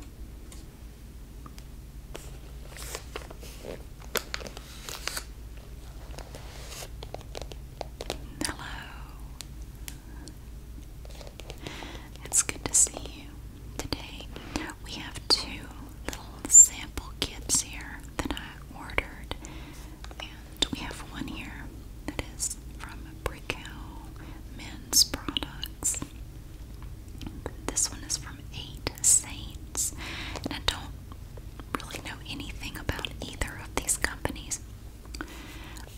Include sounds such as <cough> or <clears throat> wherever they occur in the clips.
Hello. It's good to see you. Today we have two little sample kits here that I ordered. And we have one here that is from Brickell Men's Products. This one is from Eight Saints, and I don't really know anything about either of these companies.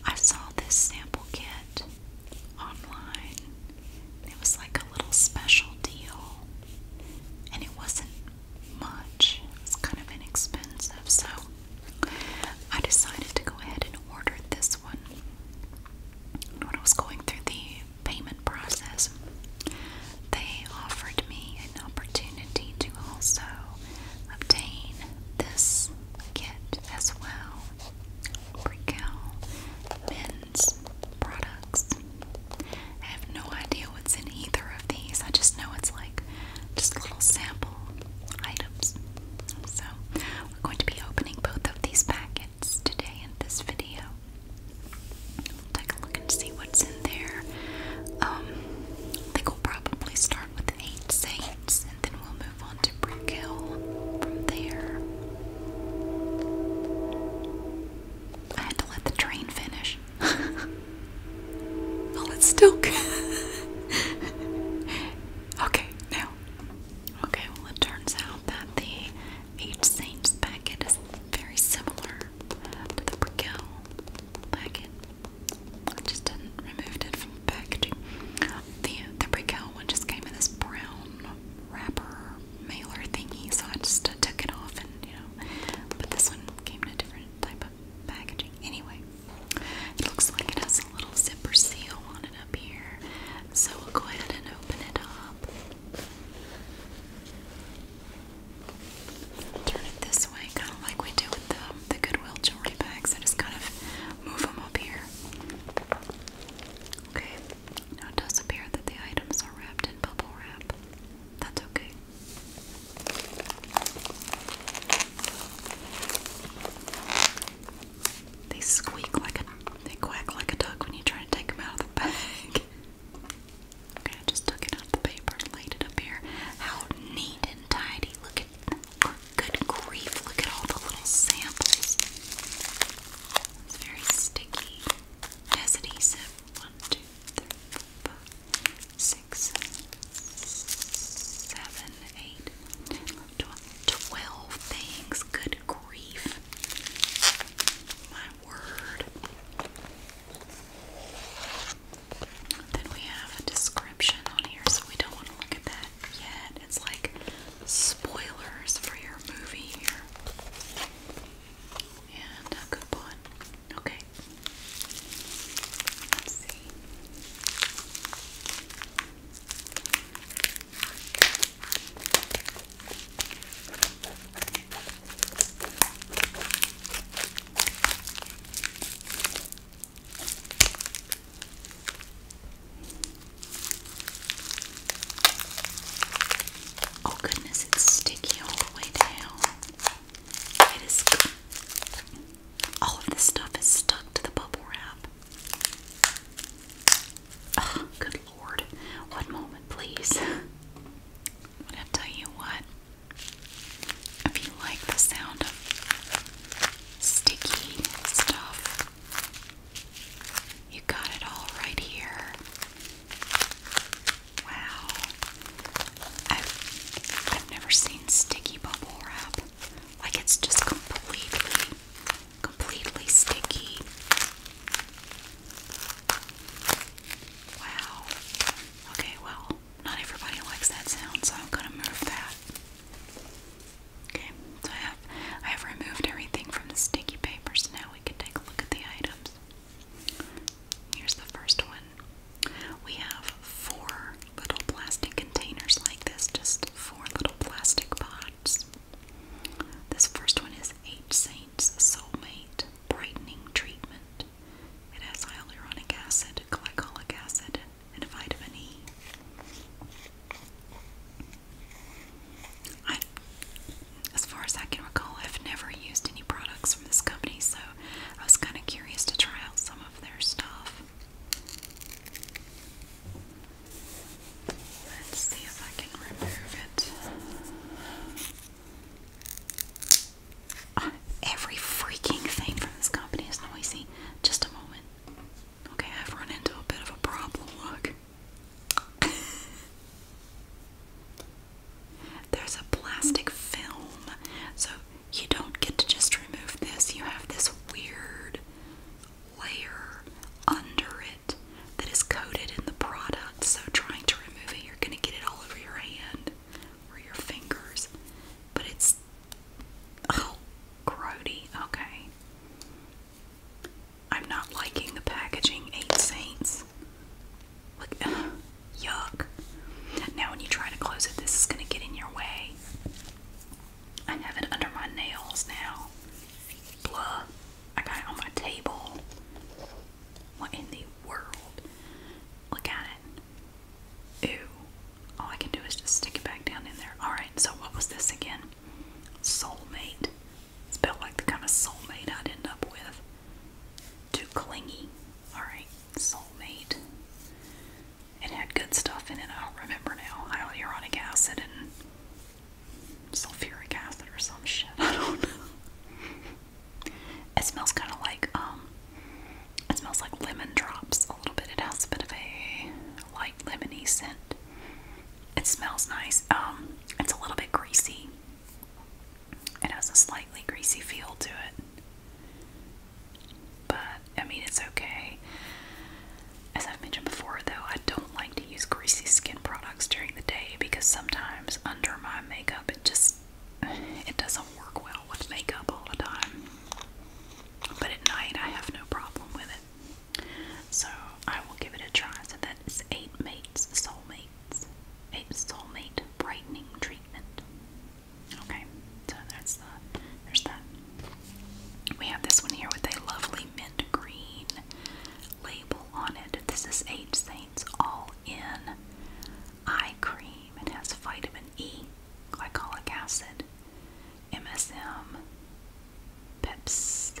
I saw this sample kit online. It was like a little special deal, and it wasn't much. It kind of inexpensive, so I decided to go ahead and order this when I was going through the payment process, they offered me an opportunity to also obtain this kit as well. Brickell men's products. I have no idea what's in either of these. I just know it's like just little sample items. So we're going to be opening both of these packages today in this video. We'll take a look and see what's in there. Um, I think we'll probably start with Eight Saints and then we'll move on to Brick Hill from there. I had to let the train finish. <laughs> well, it's still <laughs> good. okay, now. Okay, well, it turns out that the each Saint's packet is very similar to the Brickell packet. I just removed it from packaging. The the Brickell one just came in this brown wrapper mailer thingy, so I just took it off and you know. But this one came in a different type of packaging. Anyway, it looks like it has a little zipper seal on it up here. So we'll go ahead and open it up. Turn it this way, kind of like we do with the Goodwill jewelry bags. I just kind of move them up here. Okay, now it does appear that the items are wrapped in bubble wrap. That's okay. They squeak like a, they quack like a duck when you try to take them out of the bag. <laughs> okay, I just took it out of the paper and laid it up here. How neat and tidy. Look at, look, good grief, look at all the little samples. It's very sticky. has adhesive. One, two, three, four, five, things. Good grief. My word. Then we have a description on here, so we don't want to look at that yet. It's like spoilers for your movie here. And a coupon. Okay. see. Oh, goodness, it's sticky all the way down. It is. All of this stuff is stuck to the bubble wrap good lord. One moment, please. But <laughs> I tell you what, if you like the sound of sticky stuff, you got it all right here. Wow. I've, I've never seen sticky bubble wrap. Like it's just completely completely sticky. Wow. Okay, well, not everybody likes that sound, so I'm gonna move that. Okay, so I have I have removed everything from the sticky paper, so now we can take a look at the items. Here's the first one. We have four little plastic containers like this, just four little plastic pots. This first one is Eight Saints Soulmate Brightening Treatment. It has hyaluronic acid, glycolic acid, and vitamin E. I, as far as I can recall, I've never used any products from this company, so I was kind of curious to try out some of their stuff. Let's see if I can remove it. Ah, every freaking thing from this company is noisy. Just a moment. Okay, I've run into a bit of a problem. Look. <laughs> There's a plastic film. So you don't get to just remove this. You have this weird layer under it that is coated in the product. So, trying to remove it, you're going to get it all over your hand or your fingers. But it's. Oh, grody. Okay. I'm not liking the packaging, Eight Saints. Look, <sighs> yuck. Now, when you try to close it, this is going to get in your way. I have it under my nails now. Blah. I got it on my table. What in the world? Look at it. Ew. All I can do is just stick it back down in there. Alright, so what was this again? Soulmate. It's felt like the kind of soulmate I'd end up with. Too clingy. Alright, soulmate. It had good stuff in it, I don't remember now. Hyaluronic acid and sulfuric acid or some shit. <laughs> I don't know. It smells kind of like um, it smells like lemon drops a little bit. It has a bit of a light lemony scent. It smells nice. Um, it's a little bit greasy. It has a slightly greasy feel to it. But I mean, it's okay. As I've mentioned before, though, I don't like to use greasy skin products during the day because sometimes under my makeup it just it doesn't work well with makeup all the time. But at night I have no problem with it. So I will give it a try. So that is eight mates, soulmates. Eight soulmate brightening treatment. Okay, so there's that. We have this one here with a lovely mint green label on it. This is Eight Saints All In Eye Cream. It has vitamin E, glycolic acid, MSM, peps.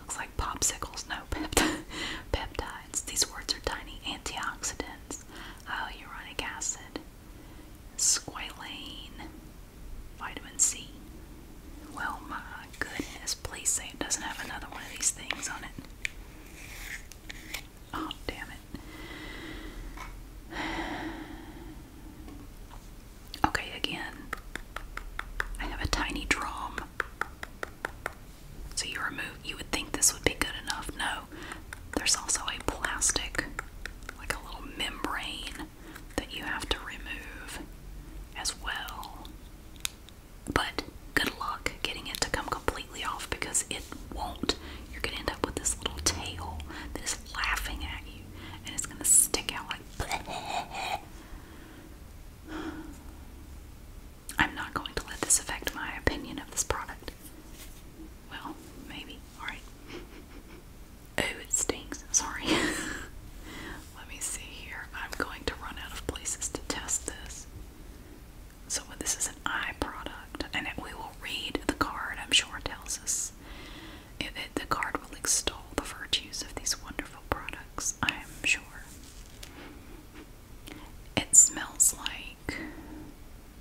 Looks like popsicles. No, pept <laughs> peptides. These words are tiny. Antioxidants, hyaluronic acid, squalane, vitamin C, well, my goodness, please say it doesn't have another one of these things on it. Oh, damn it. Okay, again, I have a tiny drum. So you remove, you would think this would be good enough. No, there's also a plastic, like a little membrane that you have to remove as well. But good luck getting it to come completely off because it won't. You're going to end up with this little tail that is laughing at you and it's going to stick out like. <sighs> I'm not going to let this affect my opinion of this product. Well, maybe. Alright. <laughs> oh, it stinks. Sorry. <laughs> Let me see here. I'm going to run out of places to test this. So this is an eye product, and we will read the card. I'm sure it tells us. It, the card will extol the virtues of these wonderful products. I am sure. It smells like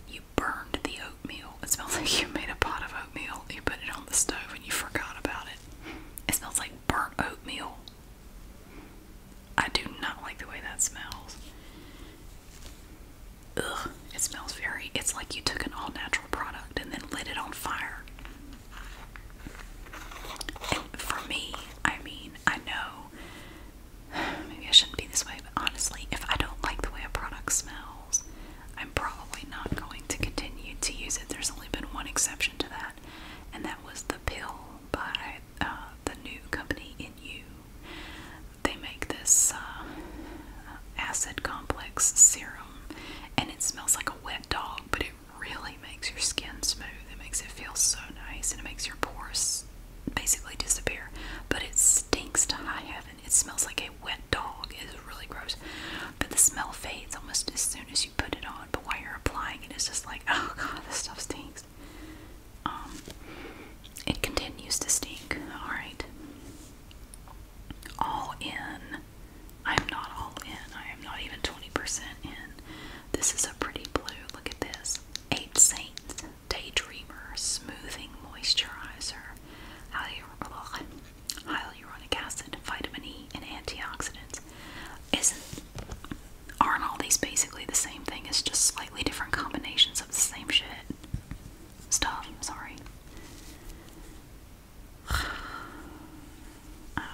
you burned the oatmeal. It smells like you made a pot of oatmeal. You put it on the stove and you forgot about it. It smells like burnt oatmeal. I do not like the way that smells. Ugh, it smells very, it's like you took an all natural product and then lit it on fire. for me, I mean, I know <sighs> maybe I shouldn't be this way, but honestly, if I don't like the way a product smells, I'm probably not going to continue to use it. There's only been one exception to that, and that was the pill by uh, the new company in you. They make this uh, acid complex serum, and it smells like a wet dog, but it really makes your skin smooth. It makes it feel so nice, and it makes your pores basically disappear. But it stinks to high heaven. It smells like a wet dog. It's really gross, but the smell fades almost as soon as you put it on but while you're applying it, it's just like, <laughs> oh god, this stuff stinks. Um, it continues to stink. All right. All in. I'm not all in. I am not even 20% in. This is a pretty blue. Look at this. Eight Saints Daydreamer Smoothing Moisturizer. Hyaluronic acid, vitamin E, and antioxidants. Isn't Aren't all these basically the same thing? It's just slightly different combinations of the same shit. Stuff, I'm sorry. <sighs> Um,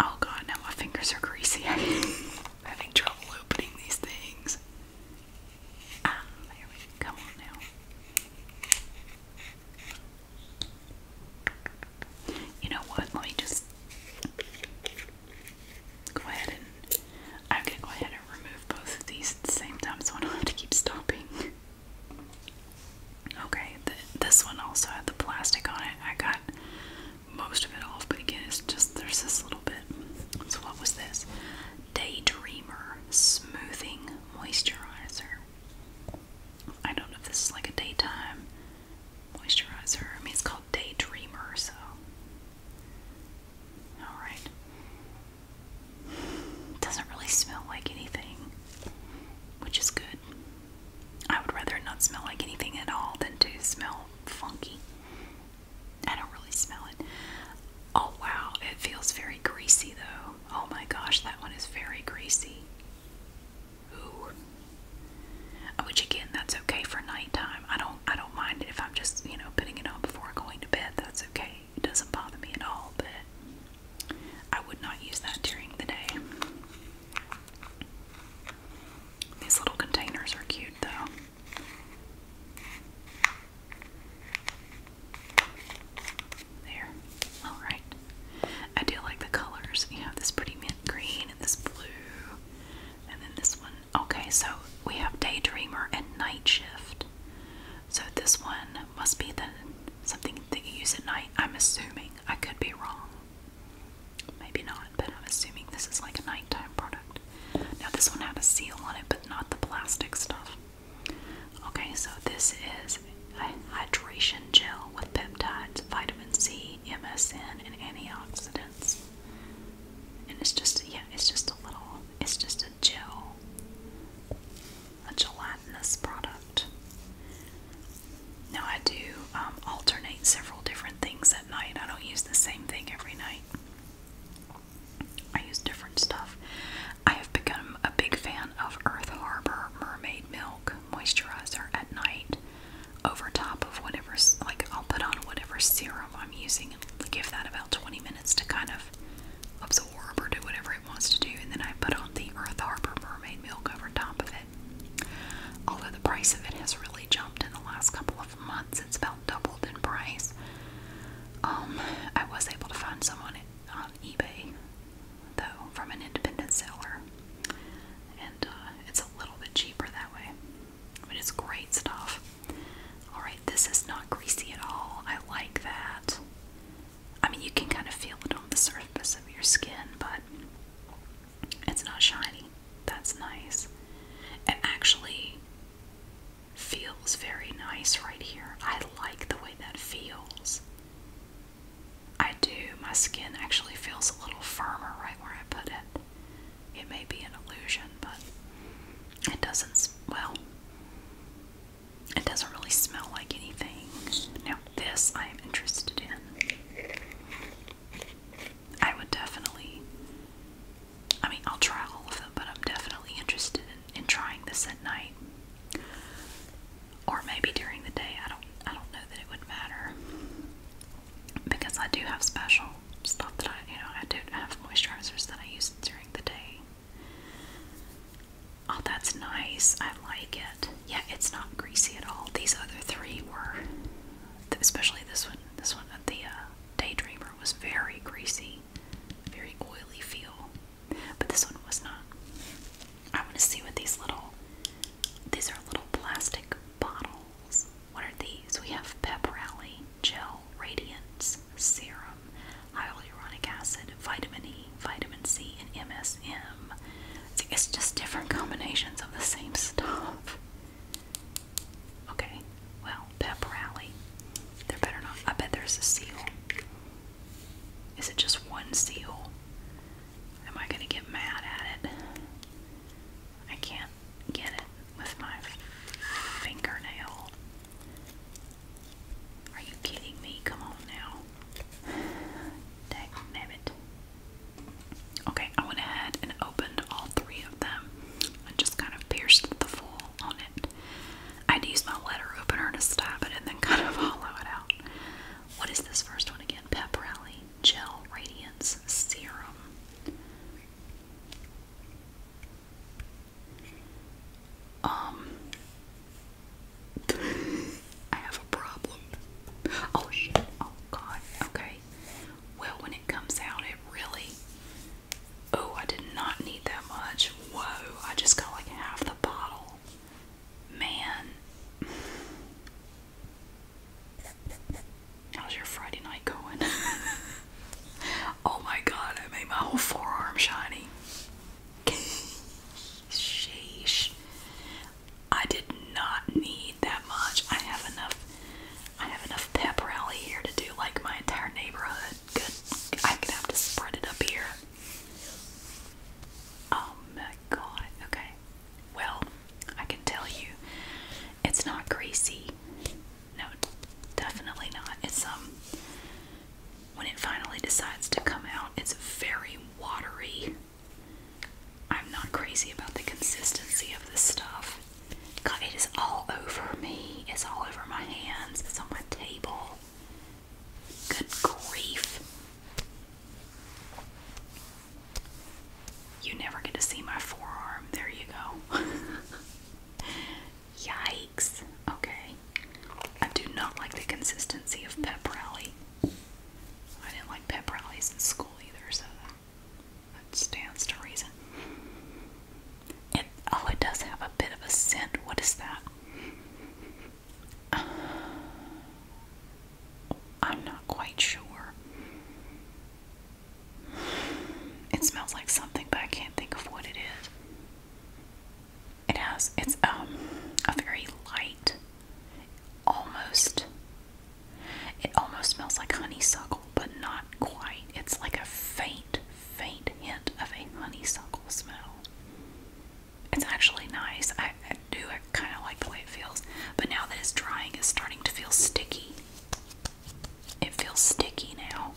oh god, now my fingers are greasy. <laughs> having trouble opening these things. Ah, Come on now. You know what? Let me just go ahead and I'm go ahead and remove both of these at the same time, so I don't have to keep stopping. Okay, this one also had the plastic on it. I got most of it off, but again, it's just there's this little bit. So what was this? Daydreamer smoothing moisturizer. I don't know if this is like a daytime moisturizer. I mean, it's called Daydreamer, so. Alright. Doesn't really smell like anything, which is good. I would rather not smell like anything at all than to smell funky. I don't really smell it. Oh wow, it feels very greasy though. Oh my gosh, that one is very greasy. Which again, that's okay for nighttime. I don't I don't mind it if I'm just, you know, putting it on before going to bed. That's okay. It doesn't bother me at all, but I would not use that during the day. These little containers are cute though. There. Alright. I do like the colors. You have this pretty mint green and this blue. And then this one. Okay, so we have daydreamer and night shift. So this one must be the something that you use at night. I'm assuming. I could be wrong. Maybe not, but I'm assuming this is like a nighttime product. Now this one had a seal on it, but not the plastic stuff. Okay, so this is a hydration gel with peptides, vitamin C, MSN, and antioxidants. And it's just yeah, it's just a little it's just a gel. A gelatinous product. Now I do um, alternate several different things at night. I don't use the same thing every night. I use different stuff. I have become a big fan of Earth Harbor Mermaid Milk Moisturizer at night over top of whatever, like I'll put on whatever serum I'm using and give that about 20 minutes to kind of absorb or do whatever it wants to do. And then I put on the Earth Harbor Mermaid Milk over top of it. Although the price of it has really jumped in the last couple of months, it's about doubled in price. Um, I was able to find some on, eBay though from an independent seller, and uh, it's a little bit cheaper that way. But it's great stuff. Alright, this is not greasy at all. I like that. I mean, you can kind of feel it on the surface of your skin, but it's not shiny. That's nice. It actually feels very nice right here. I like the way that feels. I do. My skin actually feels a little firmer right where I put it. It may be an illusion, but it doesn't, well, it doesn't really smell like anything. Now, this I am interested in. I would definitely, I mean, I'll try all of them, but I'm definitely interested in, trying this at night. Or maybe during the day. I don't I don't know that it would matter because I do have special stuff that I, you know, I do have moisturizers that I use during the day. Oh, that's nice. I like it. Yeah, it's not greasy at all. These other three were, especially this one. This one, the uh, Daydreamer, was very greasy, very oily feel. But this one was not. I want to see what these little. These are little plastic bottles. What are these? We have Pep Rally, Gel Radiance, Serum, Hyaluronic Acid, Vitamin E, Vitamin C, and MSM. It's just different combinations of the same stuff. Okay, well, Pep Rally. There better not. I bet there's a seal. Is it just one seal? Am I gonna get mad at it? I can't get it with my fingernail. Are you kidding me? Come on now. <sighs> Dang it. Okay, I went ahead and opened all three of them and just kind of pierced the foil on it. I'd use my letter opener to stab it and then <laughs> kind of hollow it out. What is this first one again? Pep Rally Gel Radiance Serum. Um, I have a problem. Oh shit, oh god, okay. Well, when it comes out, it really. Oh, I did not need that much. Whoa, I just got like half the bottle. Man. How's your Friday night going? <laughs> oh my god, I made my whole forearm shiny. Sheesh. I did not need that much. I have enough I have enough pep rally here to do like my entire neighborhood. Good I'm gonna have to spread it up here. Oh my god. Okay. Well, I can tell you it's not greasy. No, definitely not. It's um when it finally decides to come out, it's very watery. I'm not crazy about the consistency of this stuff. God, it is all over me. It's all over my hands. It's on my table. Good grief. You never get to see my forearm. There you go. <laughs> Yikes. Okay. I do not like the consistency of pep rally. I didn't like pep rallies in school either, so that stands to reason. It oh, it does have a bit of a scent. What is that? <sighs> I'm not quite sure. It smells like something, but I can't think of what it is. It has it's um a very light almost it almost smells like honeysuckle, but not quite. It's like a faint, faint hint of a honeysuckle smell. It's actually nice. I, do kind of like the way it feels, but now that it's drying, it's starting to feel sticky. It feels sticky now,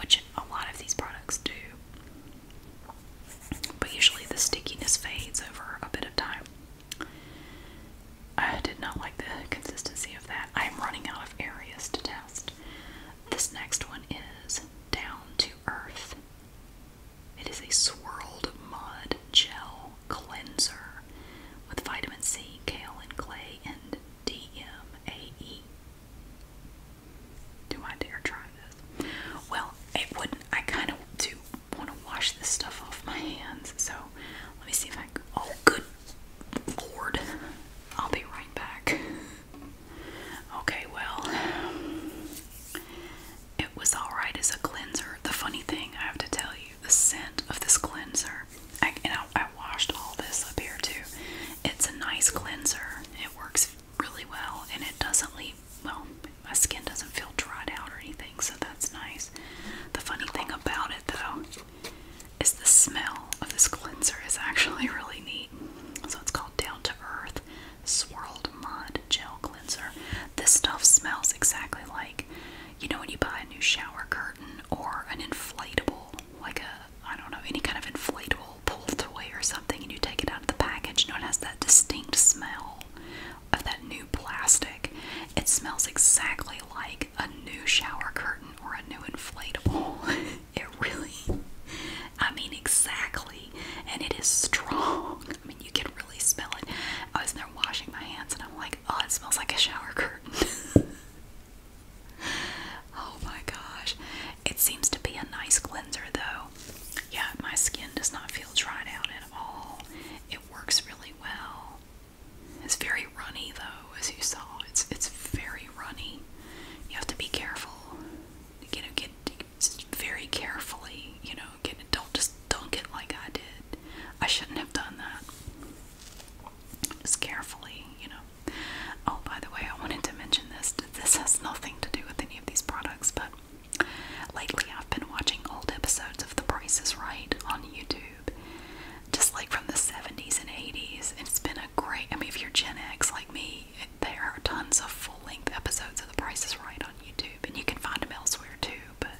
which a lot of these products do. But usually the stickiness fades over a bit of time. I did not like the consistency of that. I am running out of areas to test. This next one is Down to Earth. It is a swirled mud gel cleanser with vitamin C, kale, and clay, and DMAE. Do I dare try this? Well, it wouldn't. I kind of do want to wash this stuff off my hands, so let me see if I. Oh, good lord. I'll be right back. <laughs> Okay, well, it was alright as a cleanser. The funny thing I have to tell you the scent of this cleanser. I, washed all this up here too. It's a nice cleanser. It works really well and it doesn't leave, well, my skin doesn't feel dried out or anything, so that's nice. The funny thing about it though is the smell of this cleanser is actually <laughs> really neat. So it's called Down to Earth Swirled Mud Gel Cleanser. This stuff smells exactly like you know when you buy a new shower curtain or an inflatable like a I don't know any kind of inflatable pool toy or something and you take it out of the package you know it has that distinct smell of that new plastic it smells exactly like a new shower curtain or a new inflatable <laughs> it really I mean exactly and it is strong <laughs> I mean you can really smell it I was there washing my hands and I'm like oh, it smells like a shower curtain. <laughs> oh my gosh. It seems to be a nice cleanser though. Yeah, my skin does not feel dried out at all. It works really well. It's very runny though, as you saw. It's it's very runny. You have to be careful. You get very carefully. You know, get don't just don't get like I did. I shouldn't have done that. Just carefully, you know. Oh, by the way, I wanted to mention this. This has nothing to do with any of these products, but lately I've been watching old episodes of The Price is Right on YouTube, just like from the 70s and 80s. And it's been a great, I mean, if you're Gen X like me, there are tons of full length episodes of The Price is Right on YouTube, and you can find them elsewhere too. But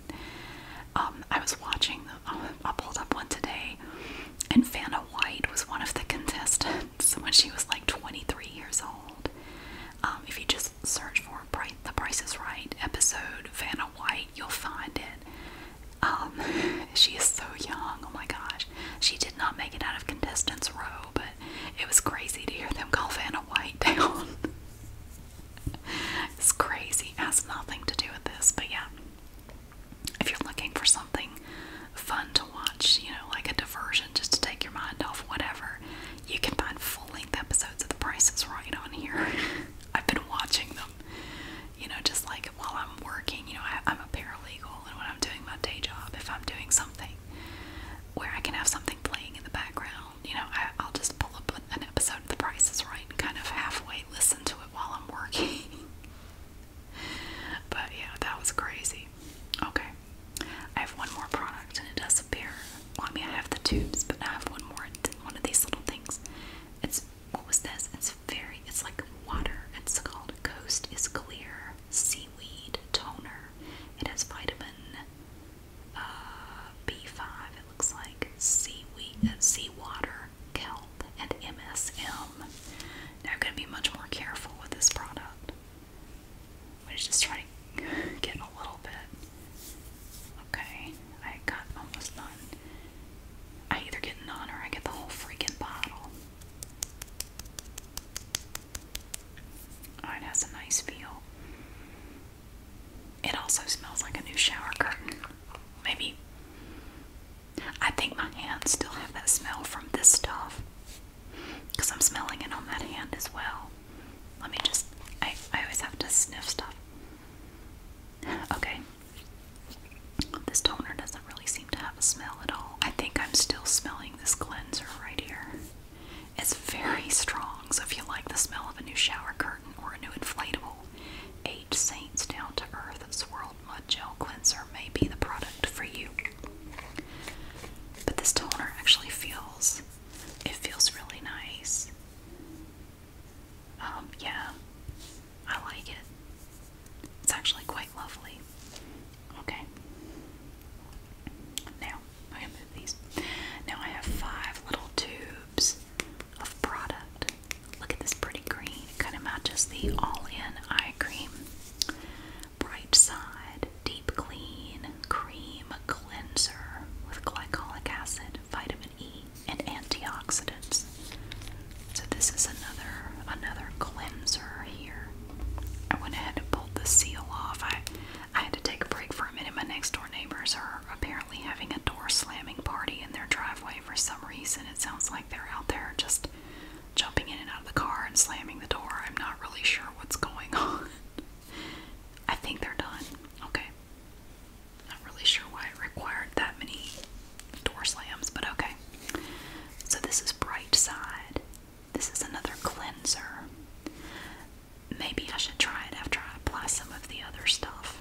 um, I was watching, um, I pulled up one today, and Vanna White was one of the contestants when she was like 23 years old. Um, if you just search for The Price is Right episode Vanna White, you'll find it. <laughs> she is so young, oh my gosh. She did not make it out of contestants row, but it was crazy to hear them call Vanna White <laughs> down. it's crazy. has nothing to do with this, but yeah if you're looking for something fun to watch, you know, like a diversion just to take your mind off whatever, you can find full length episodes of The Price is Right on here. <laughs> I've been watching them, you know, just like while I'm working, you know, I, I'm a paralegal and when I'm doing my day job, if I'm doing something where I can have something playing in the background, you know, I, I'll just pull up an episode of The Price is Right and kind of halfway listen to while I'm working. <laughs> but yeah, that was crazy. Okay, I have one more product and it does appear. I mean, I have the tubes, but I have one more. One of these little things. It's what was this? It's very. It's like water. It's called Coast is Clear Seaweed Toner. It has vitamin uh, B5. It looks like seaweed, uh, seawater, kelp, and MSM. Now I'm going to be much more careful with this product. I'm just try to <laughs> get a little bit. Okay, I got almost none. I either get none or I get the whole freaking bottle. Oh, it has a nice feel. It also smells like a new shower curtain. Maybe I think my hands still have that smell from this stuff because I'm smelling it on that hand as well. Let me just, I, always have to sniff stuff. Okay. This toner doesn't really seem to have a smell at all. I think I'm still smelling this cleanser right here. It's very strong, so if you like the smell of a new shower curtain or a new inflatable, a Saints Down to Earth world Mud Gel Cleanser may be the product for you. But this toner actually feels, it feels really nice. Um, yeah, I like it. It's actually quite lovely. Okay. Now, I'm gonna move these. Now I have five little tubes of product. Look at this pretty green. It kind of matches the all-in eye cream. Bright side, deep clean cream cleanser with glycolic acid, vitamin E, and antioxidants. So this is another another cleanser here. I went ahead and pulled the seal off. I I had to take a break for a minute. My next door neighbors are apparently having a door slamming party in their driveway for some reason. It sounds like they're out there just jumping in and out of the car and slamming the door. I'm not really sure what's going <laughs> on. I think they're done. Okay. Not really sure why it required that many door slams, but okay. So this is Bright Side. This is another cleanser. Maybe I should try it after I apply some of the other stuff.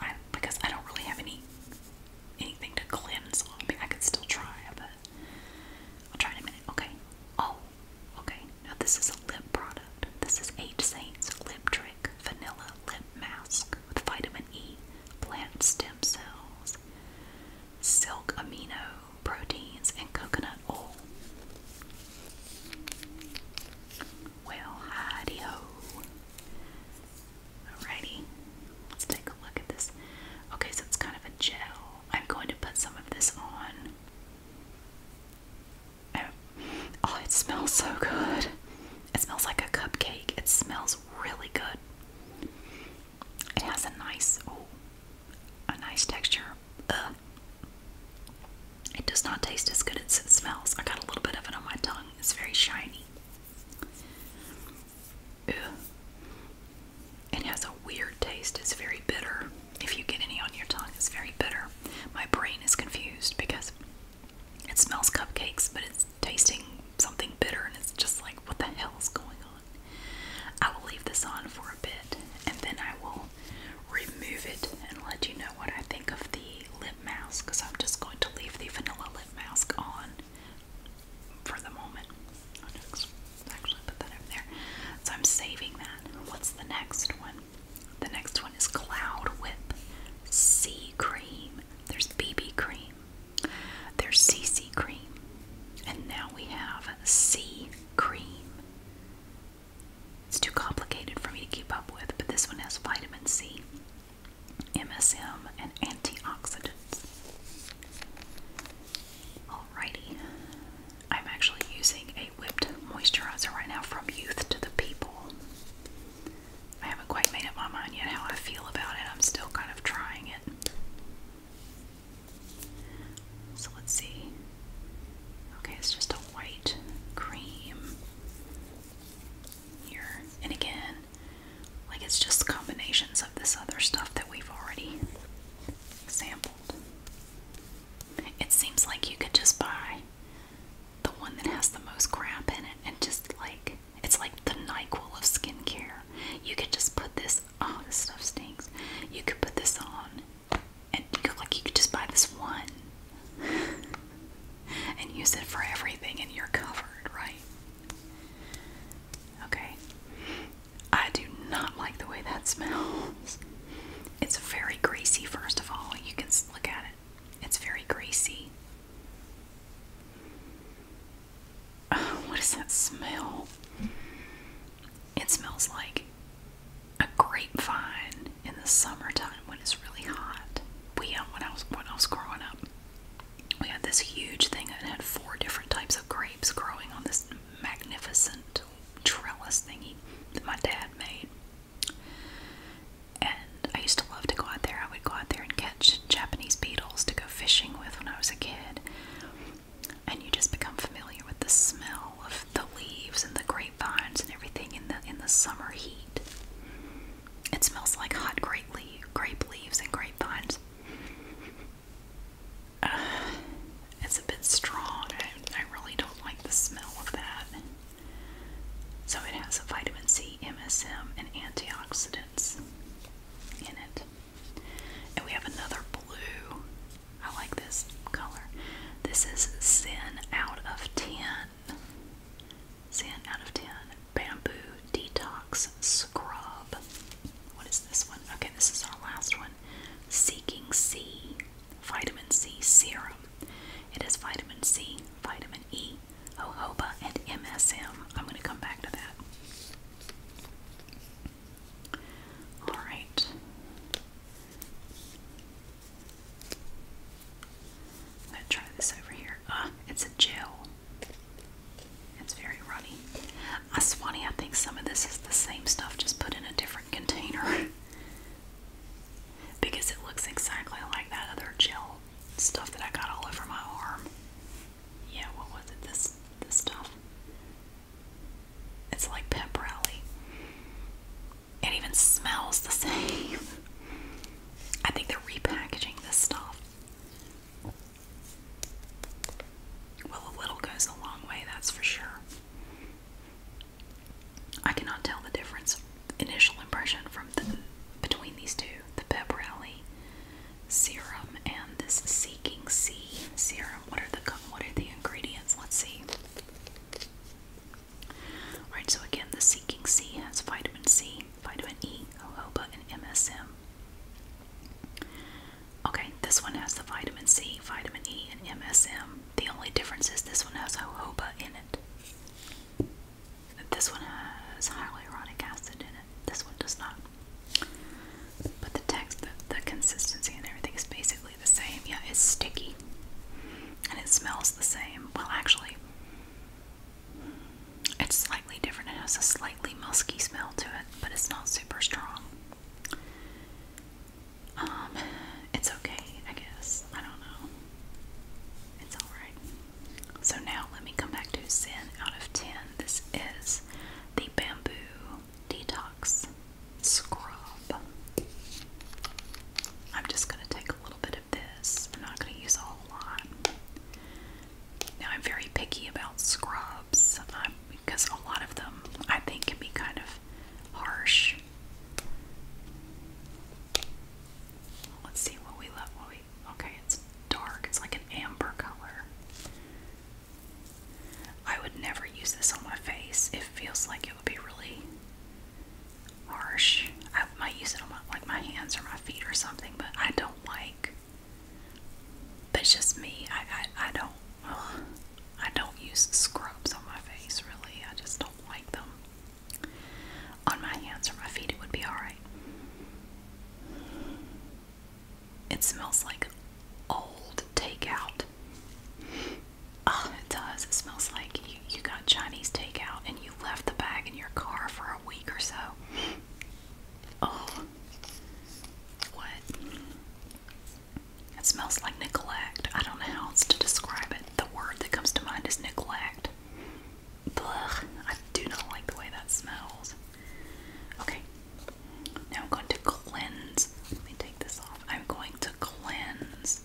I, because I don't really have any anything to cleanse I mean, I could still try, but I'll try in a minute. Okay. Oh, okay. Now this is a lip product. This is Eight Saints Lip Trick Vanilla Lip Mask with vitamin E, plant stem cells, silk amino proteins, and coconut oil. Well, hidey Alrighty, let's take a look at this. Okay, so it's kind of a gel. I'm going to put some of this on. Oh, oh it smells so good. It smells like a cupcake. It smells really good. It has a nice, a nice texture. It does not taste as good as it smells. I got a little bit of it on my tongue. It's very shiny. It has a weird taste. It's very bitter. If you get any on your tongue, it's very bitter. My brain is confused because it smells cupcakes, but it's tasting something bitter, and it's just like, what the hell is going on? I will leave this on for a bit, and then I will remove it and let you know what I think of the lip mask, because I'm just going to leave the vanilla lip mask on for the moment. Oh, actually put that over there. So I'm saving that. What's the next one? The next one is Cloud Whip C Cream. There's BB Cream. There's CC Cream. And now we have C Cream. It's too complicated for me to keep up with, but this one has vitamin C. MSM, and antioxidants. Alrighty, I'm actually using a whipped moisturizer right now from Youth to the People. I haven't quite made up my mind yet how I feel about it, I'm still kind of trying it. So let's see. Okay, it's just a white cream here. And again, like it's just combinations of this other stuff that we've already sampled. It seems like you could just buy the one that has the most crap in it and just like it's like the NyQuil of skincare. You could just put this oh this stuff stinks. You could put this on and you could like you could just buy this one <laughs> and use it for everything, and you're covered, right? Okay. I do not like the way that smells. It's very greasy, first of all. You can look at it, it's very greasy. Oh, <sighs> what is that smell? It smells like a grapevine in the summertime when it's really hot we uh, when I was when I was growing up, we had this huge thing that had four different types of grapes growing on this magnificent trellis thingy that my dad made. And I used to love to go out there. I would go out there and catch Japanese beetles to go fishing with when I was a kid. And you just become familiar with the smell of the leaves and the grapevines and everything in the in the summer heat. It smells like hot grape, leaves and grapevines. <sighs> it's a bit strong. and I really don't like the smell of that. So it has vitamin C, MSM, and antioxidants in it. And we have another blue. I like this color. This is Zen out of 10. 10 out of 10 bamboo detox scrub. What is this one? Okay, this is our last one. Seeking C vitamin C serum. It has vitamin C, vitamin E, jojoba, and MSM. I'm going to come back to that. All right. I'm going to try this over here. Uh, it's a gel. It's very runny. That's uh, funny, I think some of this is the same stuff, just put in a different container. <laughs> because it looks exactly like that other gel stuff that I got all over my arm. Yeah, what was it? This this stuff. It's like pep It even smells the <laughs> same. I think they're repackaging this stuff. Well, a little goes a long way, that's for sure. I cannot tell the difference, initial impression from between these two, the Pep Rally serum and this Seeking Sea serum. What are the what are the ingredients? Let's see. All right, so again, the Seeking C has vitamin C, vitamin E, jojoba, and MSM. Okay, this one has the vitamin C, vitamin E, and MSM. The only difference is this one has jojoba in it. This one has hyaluronic acid in it. This one does not. But the text, the, the consistency, and everything is basically the same. Yeah, it's sticky. And it smells the same. Well, actually, it's slightly different. It has a slightly musky smell to it, but it's not super strong. Um, it's okay, I guess. I don't know. It's alright. So now let me come back to Zen out of 10. This is the Bamboo Detox Scrub. I'm just going to take a little bit this. I'm not going to use a whole lot. Now, I'm very picky about scrubs um, because a lot of them I think can be kind of harsh. Let's see what we love. What we okay? It's dark. It's like an amber color. I would never use this on my face. It feels like it would be really harsh. I might use it on my, like my hands or my feet or something, but I don't like. But just me. I I, don't. I don't use scrubs on my face. Really, I just don't like them. On my hands or my feet, it would be all right. It smells like old takeout. Oh, it does. It smells like you, you got Chinese takeout and you left the bag in your car for a week or so. Oh, what? It smells like neglect. I don't know how else to describe it. The word that comes to mind is neglect. Blech, I do not like the way that smells. Okay, now I'm going to cleanse. Let me take this off. I'm going to cleanse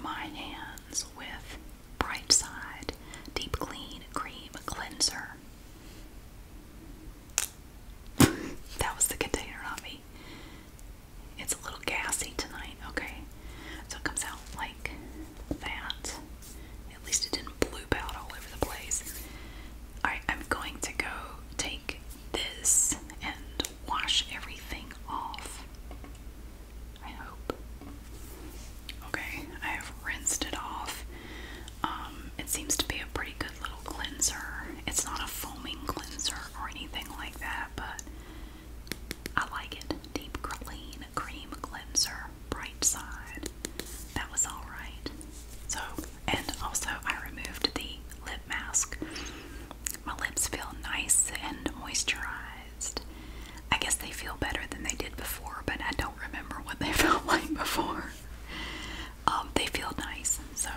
my hands with Bright Side Deep Clean Cream Cleanser. <laughs> that was the container, not me. It's a little gassy tonight, okay? So it comes out like that. At least it didn't bloop out all over the place. I'm going to go take this and wash everything off. I hope. Okay, I have rinsed it off. Um, it seems to be a pretty good little cleanser. It's not a foaming cleanser or anything like that, but I like it. Deep clean cream cleanser, bright side. That was alright. So, and also I removed the lip mask. My lips feel nice and moisturized. I guess they feel better than they did before, but I don't remember what they <laughs> felt like before. Um, they feel nice, so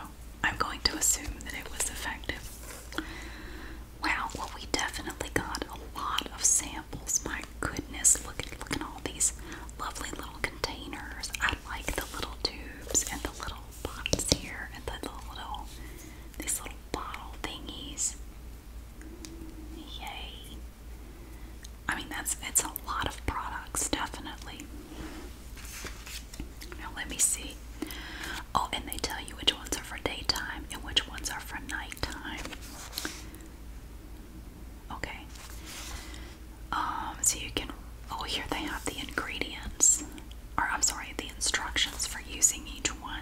I'm going to assume that it was effective. Wow, well we definitely got a lot of samples. My goodness, look at look at all these lovely little containers. I like the little tubes and the little bots here and the little these little bottle thingies. Yay. I mean, that's it's a lot of products, definitely. Now, let me see. Oh, and they tell you which ones are for daytime and which ones are for nighttime. Okay. Um, so you can. Oh, here they have the ingredients. Or, I'm sorry, the instructions for using each one.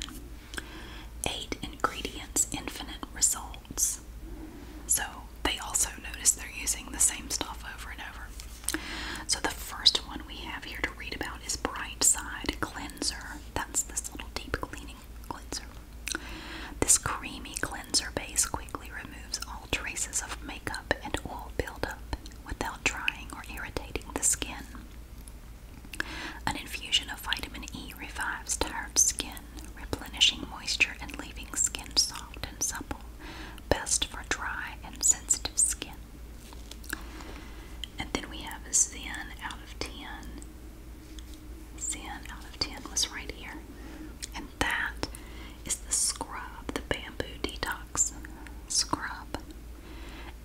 Eight ingredients, infinite results. So they also notice they're using the same stuff over and over. So the first one we have here to read about is Bright Side Cleanser. That's this little deep cleaning cleanser. This creamy cleanser base quickly removes all traces of makeup and oil buildup without drying or irritating the skin. An infusion of vitamin E revives tired skin replenishing moisture and leaving skin soft and supple. Best for dry and sensitive skin. And then we have a Zen out of 10. Zen out of 10 was right here. And that is the scrub, the bamboo detox scrub.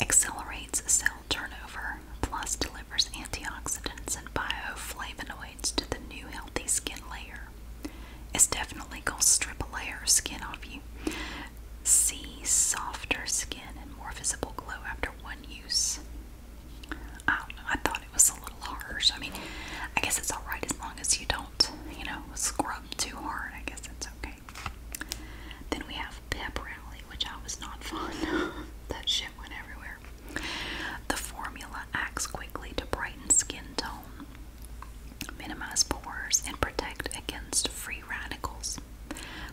Accelerates cell turnover Plus delivers antioxidants and bioflavonoids to the new healthy skin layer. It's definitely gonna strip a layer of skin off you. See softer skin and more visible glow after one use. I thought it was a little harsh. I mean, I guess it's alright as long as you don't, you know, scrub too hard. I guess it's okay. Then we have Pep Rally, which I was not fun. <laughs> that shit went everywhere. The formula acts quickly to brighten skin tone, minimize pores, and protect against free radicals.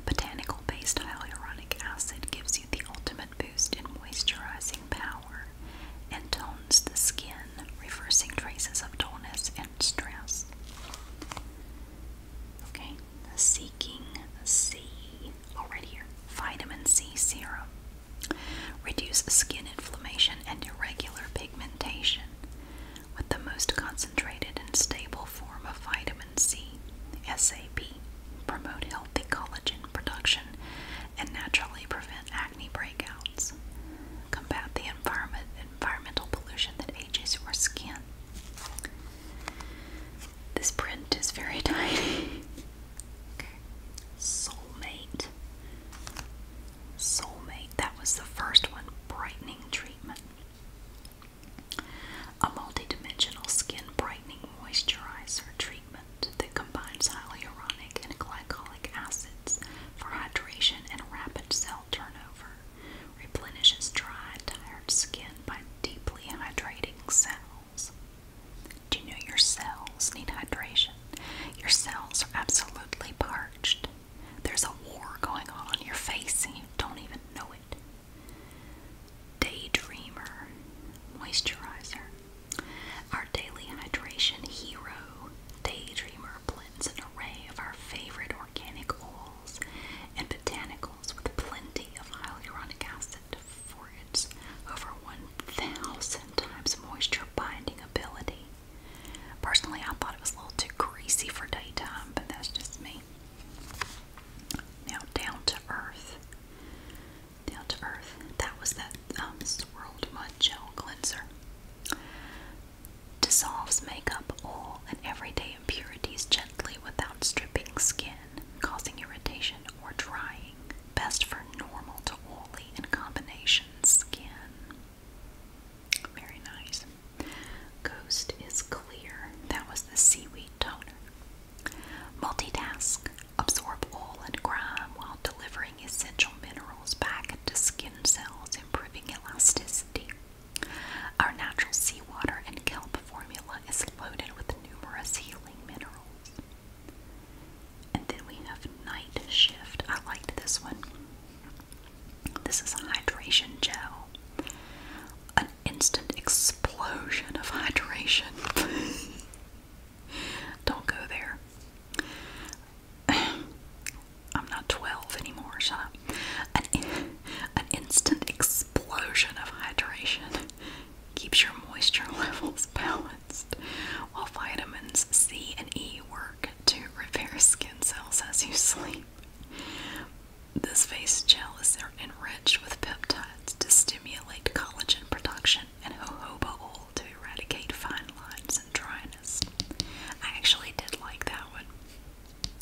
Botanical based hyaluronic acid gives you the ultimate boost in moisturizing power and tones the skin, reversing traces of dullness and stress. Okay, seeking sea. C, vitamin C serum. Reduce skin inflammation and irregular pigmentation with the most concentrated and stable form of vitamin C, SAP. Promote healthy collagen production and naturally prevent acne breakouts. Combat the environment environmental pollution that ages your skin. This print is very tiny. okay. Soulmate. Soulmate. That was the first one. Brightening treatment. A multidimensional skin brightening moisturizer treatment that combines hyaluronic and glycolic acids for hydration and rapid cell turnover. Replenishes dry, tired skin by deeply hydrating cells. Do you know your cells need hydration? Your cells are absolutely parched. There's a war going on on your face and you don't even know it. Daydreamer Moisturizer. Our daily hydration hero, Daydreamer, blends an array of our favorite organic oils and botanicals with plenty of hyaluronic acid for its over 1,000 times moisture binding ability. Personally, I thought it was a little too greasy for daytime, but that's just me. Now, down to earth. Down to earth. That was that um, swirled mud gel cleanser. Dissolves makeup, oil, and everyday impurities gently without stripping skin, causing irritation or drying. Best for normal to oily and combination skin. Very nice. Ghost is clear. That was the seaweed toner. Multitask. Absorb oil and grime while delivering essential minerals back into skin cells, improving elasticity. Our natural seawater and kelp formula is loaded with numerous healing minerals. And then we have Night Shift. I liked this one. This is a hydration gel. An instant explosion of hydration. <laughs> Don't go there. <clears throat> I'm not 12 anymore, shut An, an instant explosion of hydration keeps your moisture <laughs> levels balanced, while vitamins C and E work to repair skin cells as you sleep. This face gel is enriched with peptides to stimulate collagen production and jojoba oil to eradicate fine lines and dryness. I actually did like that one.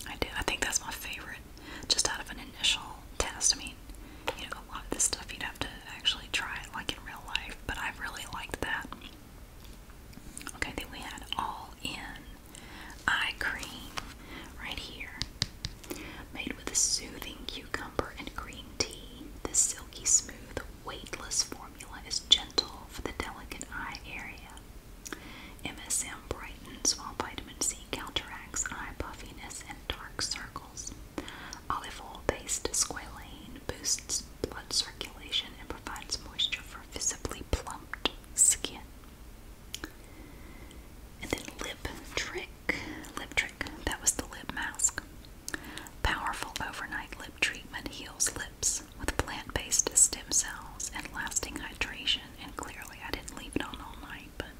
I did. I think that's my favorite, just out of an initial test. I mean, you know, a lot of this stuff you'd have to actually try like in real life, but I really liked that. Okay, then we had All In Eye Cream right here. Made with a soothing cucumber and green tea, this silky smooth, weightless formula is gentle for the delicate eye area. MSM brightens while vitamin C counteracts eye puffiness and dark circles. Olive oil based squalane boosts blood circulation and provides moisture for visibly plumped skin. And then Lip Trick. Lip Trick, that was the lip mask. Powerful overnight lip treatment heals lips with plant based stem cells and lasting hydration. And clearly, I didn't leave it on all night, but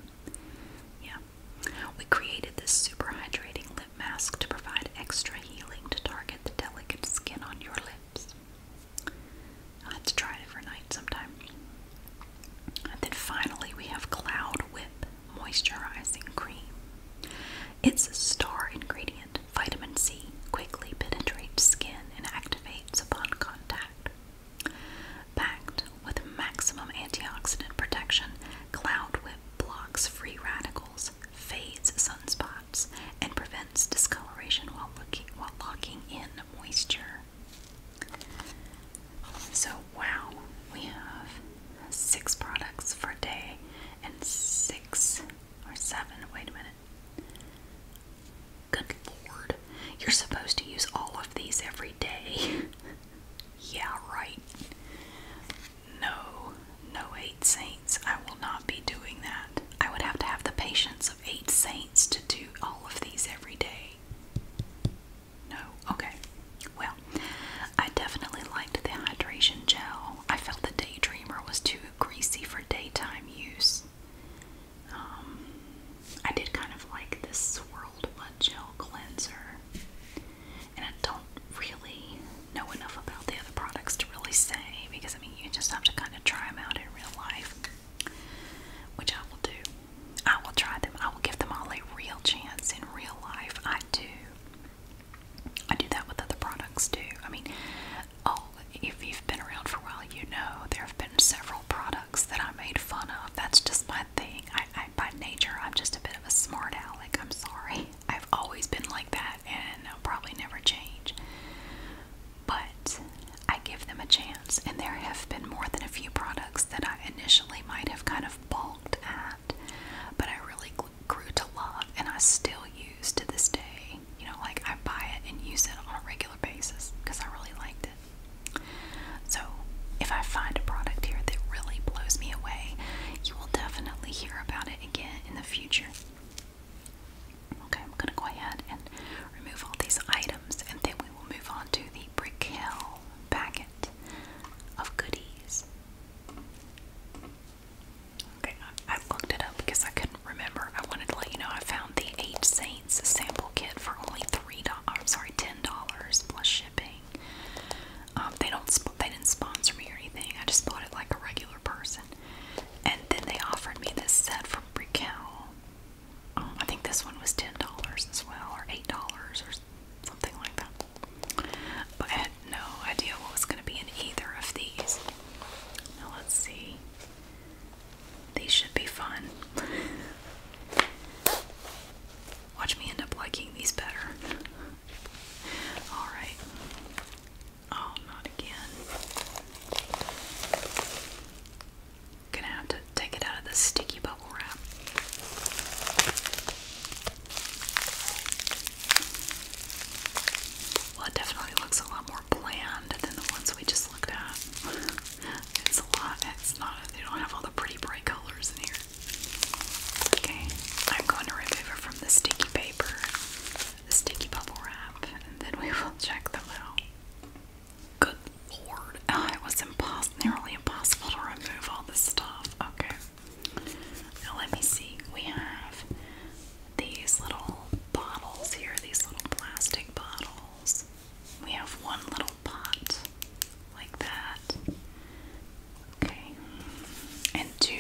yeah. We created this super hydrating lip mask to provide extra healing to target the delicate skin on your lips. I'll have to try it overnight sometime. And then finally, we have Cloud Whip Moisturizing Cream. It's a star ingredient. Vitamin C quickly penetrates skin and activates upon contact. Packed with maximum antioxidant protection Cloud Whip blocks free radicals, fades sunspots, and prevents discoloration while, while locking in moisture. So, wow, we have six products for a day and six or seven. Wait a minute. Good lord. You're supposed to use all of these every day. <laughs> yeah, right. No, no eight saints. I will not be doing that. I would have to have the patience of eight saints to do all of these every day. No, okay. Well, I definitely liked the hydration gel. I felt the Daydreamer was too greasy for daytime use. Um, I did kind of like this swirled mud gel cleanser and I don't really know enough about the other products to really say because I mean you just have to kind of try them out in real life, which I will do. I will try them. I will give them all a real chance in real life. I do. I do that with other products too. I mean, oh, if you've been around for a while, you know there have been several products that I made fun of. That's just my thing. I, I I, by nature, I'm just a bit of a smart aleck. I'm sorry. I've always been like that, and I'll probably never change. But I give them a chance, and there have been more than a few products that I initially might have kind of balked at, but I really grew to love, and I still use to this day. You know, like I buy it and use it on a regular basis because I really liked it. So, if I find a product here that really blows me away, you will definitely about it again in the future. Okay, I'm going to go ahead and remove all these items and then we will move on to the Brickell packet of goodies. Okay, I, I looked it up because I couldn't remember. I wanted to let you know I found the Eight Saints sample kit for only three dollars. I'm sorry, ten dollars plus shipping. Um, they don't they didn't sponsor me or anything. I just bought it like a regular person. And then they offered me this set from Brickell. Um, I think this one was ten dollars as well, or eight dollars, or something like that. But I had no idea what was going to be in either of these. let's see. These should be fun. Watch me end up liking these better. Alright. Oh, not again. Gonna have to take it out of the sticky bubble wrap. Well, it definitely looks a lot more bland than the ones we just looked at. <laughs> it's a lot. It's not. They don't have all the pretty bright colors in here. Okay, I'm going to remove it from the sticky paper, the sticky bubble wrap, and then we will check them out. Good lord. Oh, it was nearly impossible to remove all this stuff. Okay. Now let me see. We have these little bottles here, these little plastic bottles. We have one little pot like that. Okay, and two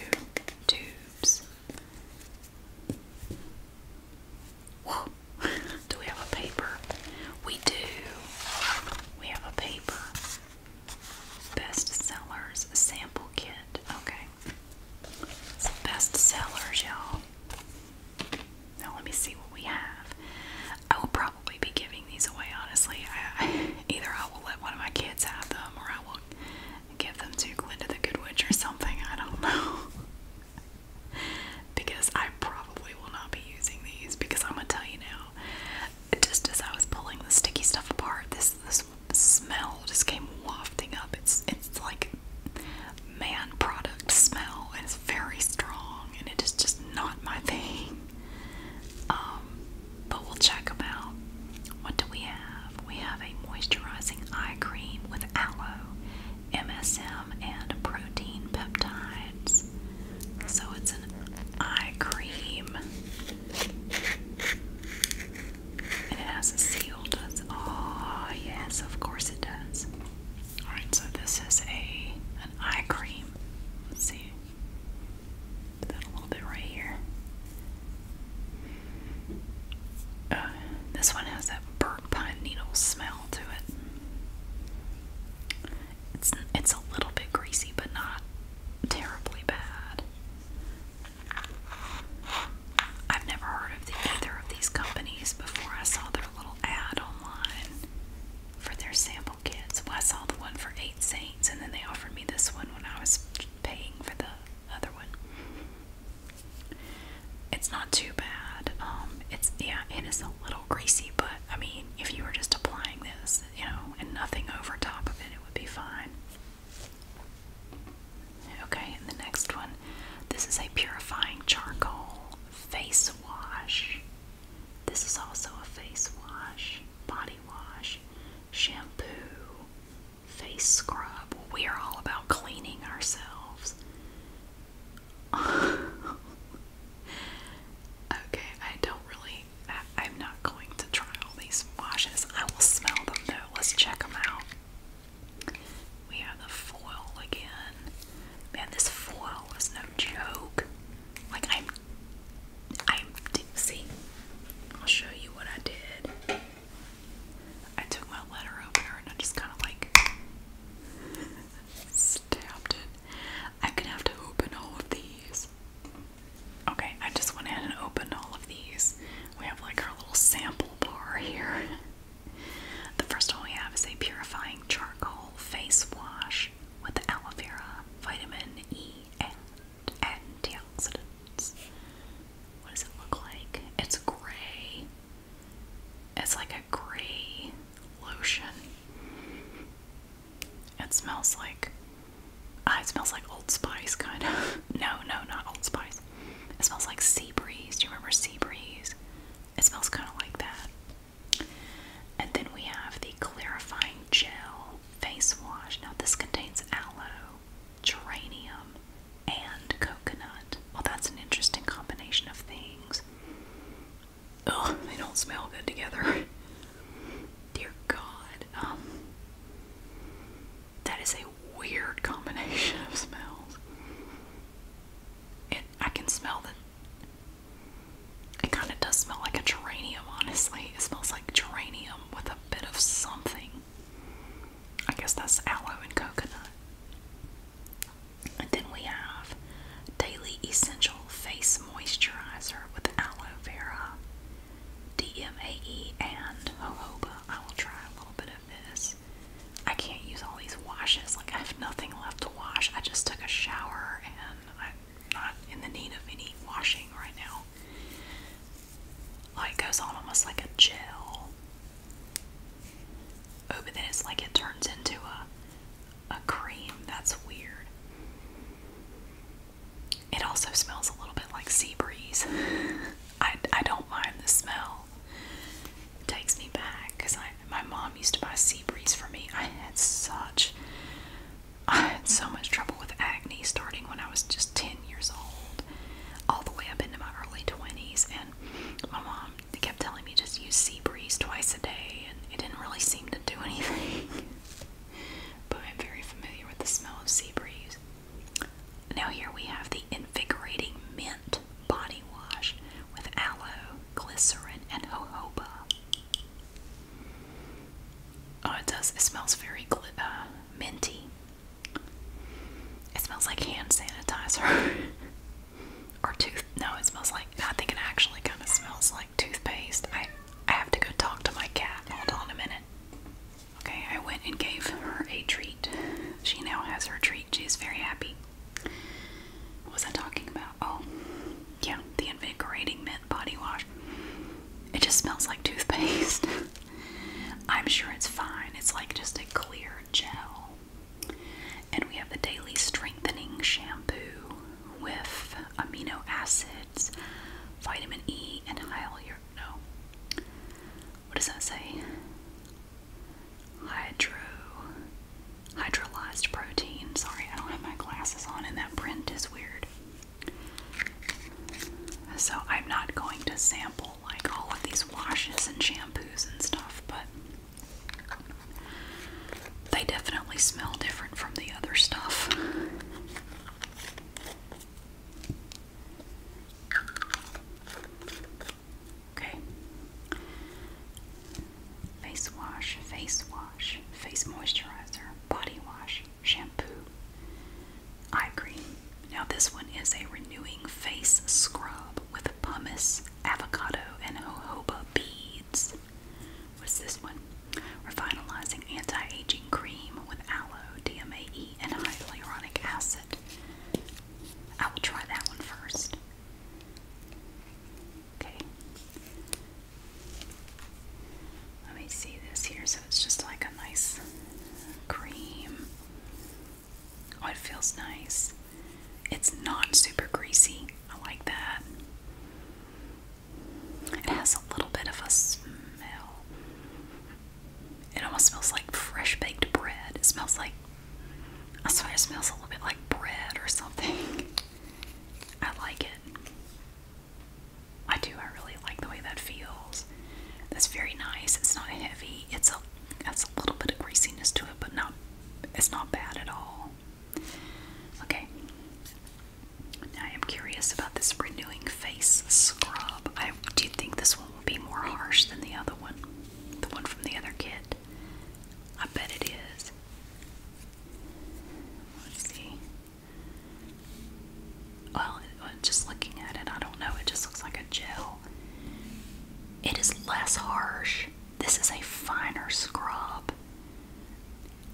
tubes. Whoa, <laughs> do we have a paper? We do. We have a paper. Best sellers sample kit. Okay. It's best sellers, y'all. Now let me see what we have. I will probably be giving these away, honestly. <laughs> either I will let one of my kids have them or I will Give them to Glinda the Good Witch or something. I don't know. <laughs> because I probably will not be using these because I'm gonna tell you now. Just as I was pulling the sticky stuff apart, this this smell just came wafting up. It's it's like man product smell. It's very strong and it is just not my thing. Um but we'll check them out. What do we have? We have a moisturizing eye cream with aloe, MSM, and protein peptides. So it's an eye cream. And it has a seal, does Oh, yes, of course it does. Alright, so this is a an eye cream. Let's see. Put that a little bit right here. Uh, this one has that burnt pine needle smell to it. It's it's a little bit greasy, but not terribly bad. I've never heard of the, either of these companies before. I saw their little ad online for their sample kits. Well, I saw the one for Eight Saints, and then they offered me this one when I was paying for the other one. It's not too bad. Um, it's yeah, it is a little greasy, but I mean, if you were just applying this, you know, and nothing over top of it, it would be fine. Okay, and the next one. This is a purifying charcoal face wash. This is also a face wash, body wash, shampoo, face scrub. we are all about cleaning ourselves. <laughs> okay, I don't really. I, am not going to try all these washes. I will smell them though. Let's check them out. We have the foil again. Man, this foil is no joke. Like, I'm I'm see. I'll show you what I did. I took my letter opener and I just kind of like stabbed it. I'm gonna have to open all of these. Okay, I just went ahead and opened all of these. We have like our little sample bar here. The first one we have is a purifying charcoal face wash with aloe vera, vitamin E, and antioxidants. What does it look like? It's gray. It's like a gray lotion. It smells like ah, it smells like Old Spice kind of. <laughs> no, no, not Old Spice. It smells like sea breeze. Do you remember sea breeze? It smells kind of like that. And then we have the clarifying gel face wash. Now this contains aloe geranium, and coconut. Well, that's an interesting combination of things. Ugh, they don't smell good together. <laughs> Dear God. Um, that is a weird combination of smells. It, I can smell the. It kind of does smell like a geranium, honestly. It smells like geranium with a bit of something. I guess that's aloe and coconut. And then we have Daily Essential Face Moisturizer with Aloe Vera, DMAE, and Jojoba. I will try a little bit of this. I can't use all these washes. Like, I have nothing left to wash. I just took a shower and I'm not in the need of any washing right now like goes on almost like a gel. but then it's like it turns into a a cream. That's weird. It also smells a little bit like sea breeze. <laughs> I, I don't mind the smell. It takes me back because I my mom used to buy sea breeze for me. I had such I had so much trouble with acne starting when I was just 10 years old, all the way up into my early 20s. And my mom kept telling me just use sea breeze twice a day, and it didn't really seem to do <laughs> anything. but I'm very familiar with the smell of sea breeze. Now, here we have the invigorating mint body wash with aloe, glycerin, and jojoba. Oh, it does. It smells very uh, minty. It smells like hand sanitizer <laughs> or tooth. No, it smells like. I think it actually kind of smells like toothpaste. I I have to go talk to my cat. Hold on a minute. Okay, I went and gave her a treat. She now has her treat. She is very happy. What was I talking about? Oh, yeah, the invigorating mint body wash. It just smells like toothpaste. <laughs> I'm sure it's fine. It's like just a clear gel. And we have the Daily Strengthening Shampoo with amino acids, vitamin E, and hyalur. No. What does that say? Hydro. Hydrolyzed protein. Sorry, I don't have my glasses on, and that print is weird. So I'm not going to sample like all of these washes and shampoos and stuff, but they definitely smell different from the other stuff. Okay. Face wash, face wash, face moisturizer, body wash, shampoo, eye cream. Now, this one is a renewing face scrub with pumice, avocado, and jojoba beads. What's this one? We're finalizing anti aging cream with aloe, DMAE, and hyaluronic acid. I will try that one first. Okay. Let me see this here. So it's just like a nice cream. Oh, it feels nice. It's not super greasy. I like that. It has a little bit of a smell. It almost smells like fresh baked bread. It smells like, I swear, it smells a little bit like bread or something. <laughs> I like it. I do. I really like the way that feels. That's very nice. It's not heavy. It's a that's a little bit of greasiness to it, but not it's not bad at all. Okay. I am curious about this renewing face scrub. I do think this one will be more harsh than the other one. The one from the other kit. I bet it is. Let's see well, just looking at it, I don't know, it just looks like a gel. It is less harsh. This is a finer scrub.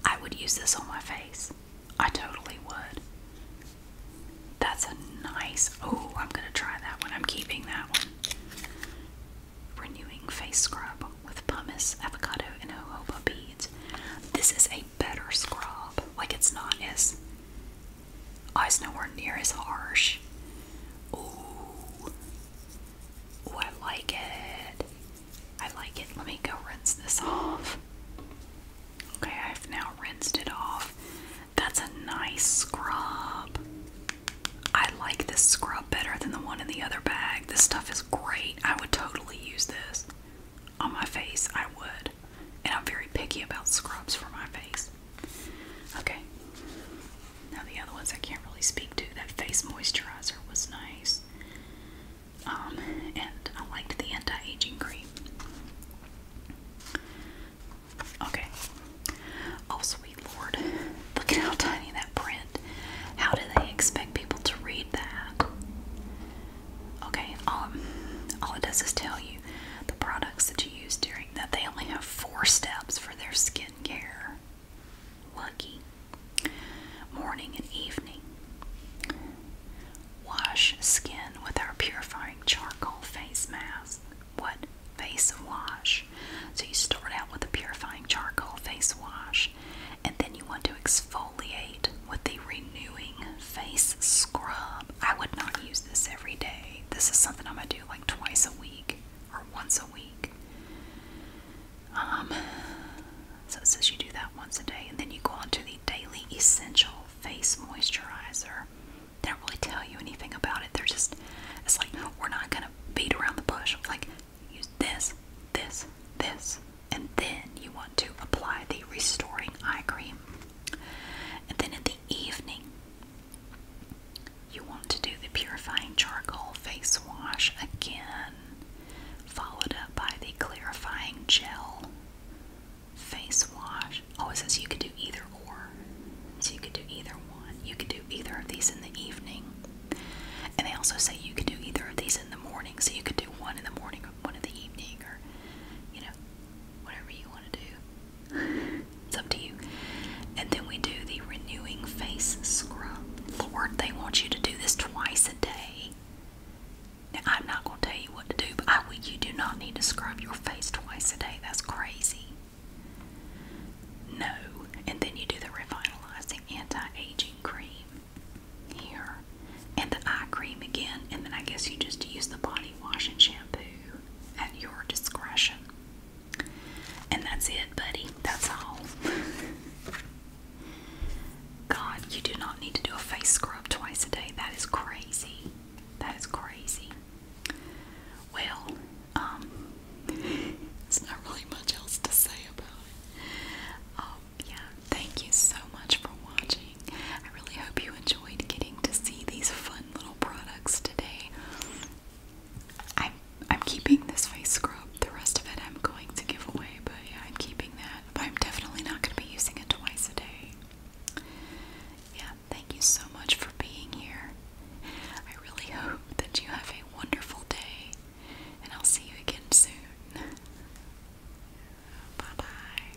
I would use this on my face. I totally would. That's a nice. Oh, I'm going to try that one. I'm keeping that one. Renewing face scrub with pumice, avocado, and jojoba beads. This is a better scrub. Like it's not as oh, it's nowhere near as harsh. Ooh. Ooh, I like it. I like it. Let me go rinse this off. Okay, I've now rinsed it off. That's a nice scrub. I like this scrub better than the one in the other bag. This stuff is great. I would totally use this on my face. I would. And I'm very picky about scrubs for my face. Okay. Now the other ones I can't really speak to. That face moisturizer was nice. Um, and I liked the anti-aging cream. Okay. Oh sweet lord. Look at how tiny that print. How do they expect people to read that? Okay, all it does is tell you the products that you use during that. They only have four steps for their skincare. Lucky. Morning and evening. Wash skin with our purifying charcoal face mask. What? Face wash. So you start out with a purifying charcoal face wash, and then you want to exfoliate with the renewing face scrub. I would not use this every day. This is something I'm gonna do like twice a week or once a week. Um, so it says you do that once a day, and then you go on to the Daily Essential Face Moisturizer. They don't really tell you anything about it. They're just, it's like, we're not gonna beat around the bush. Like, use this, this, this, and then you want to apply the Restoring Eye Cream. And then in the evening, you want to do the purifying charcoal face wash again, followed up by the clarifying gel face wash. Oh, it says you could do either or. So you could do either one. You could do either of these in the evening. And they also say you could do either of these in the morning. So you could do one in the morning or one in the evening or, you know, whatever you want to do it's up to you. And then we do the renewing face scrub. Lord, they want you to do this twice a day. Now, I'm not going to tell you what to do, but I, you do not need to scrub your face twice a day. That's crazy. No. And then you do the revitalizing anti aging cream here. And the eye cream again. And then I guess you just use the body wash and shampoo at your discretion. And that's it, buddy. That's all. <laughs> God, you do not need to do a face scrub twice a day. That is crazy. That is crazy. Well, um, it's <laughs> not really much else to say about it. Um, yeah, thank you so much for watching. I really hope you enjoyed getting to see these fun little products today. I'm I'm keeping this face scrub. The rest of it I'm going to give away, but yeah, I'm keeping that. I'm definitely not going to be using it twice a day. Yeah, thank you so much for being here. I really hope that you have a wonderful day, and I'll see you again soon. Bye bye.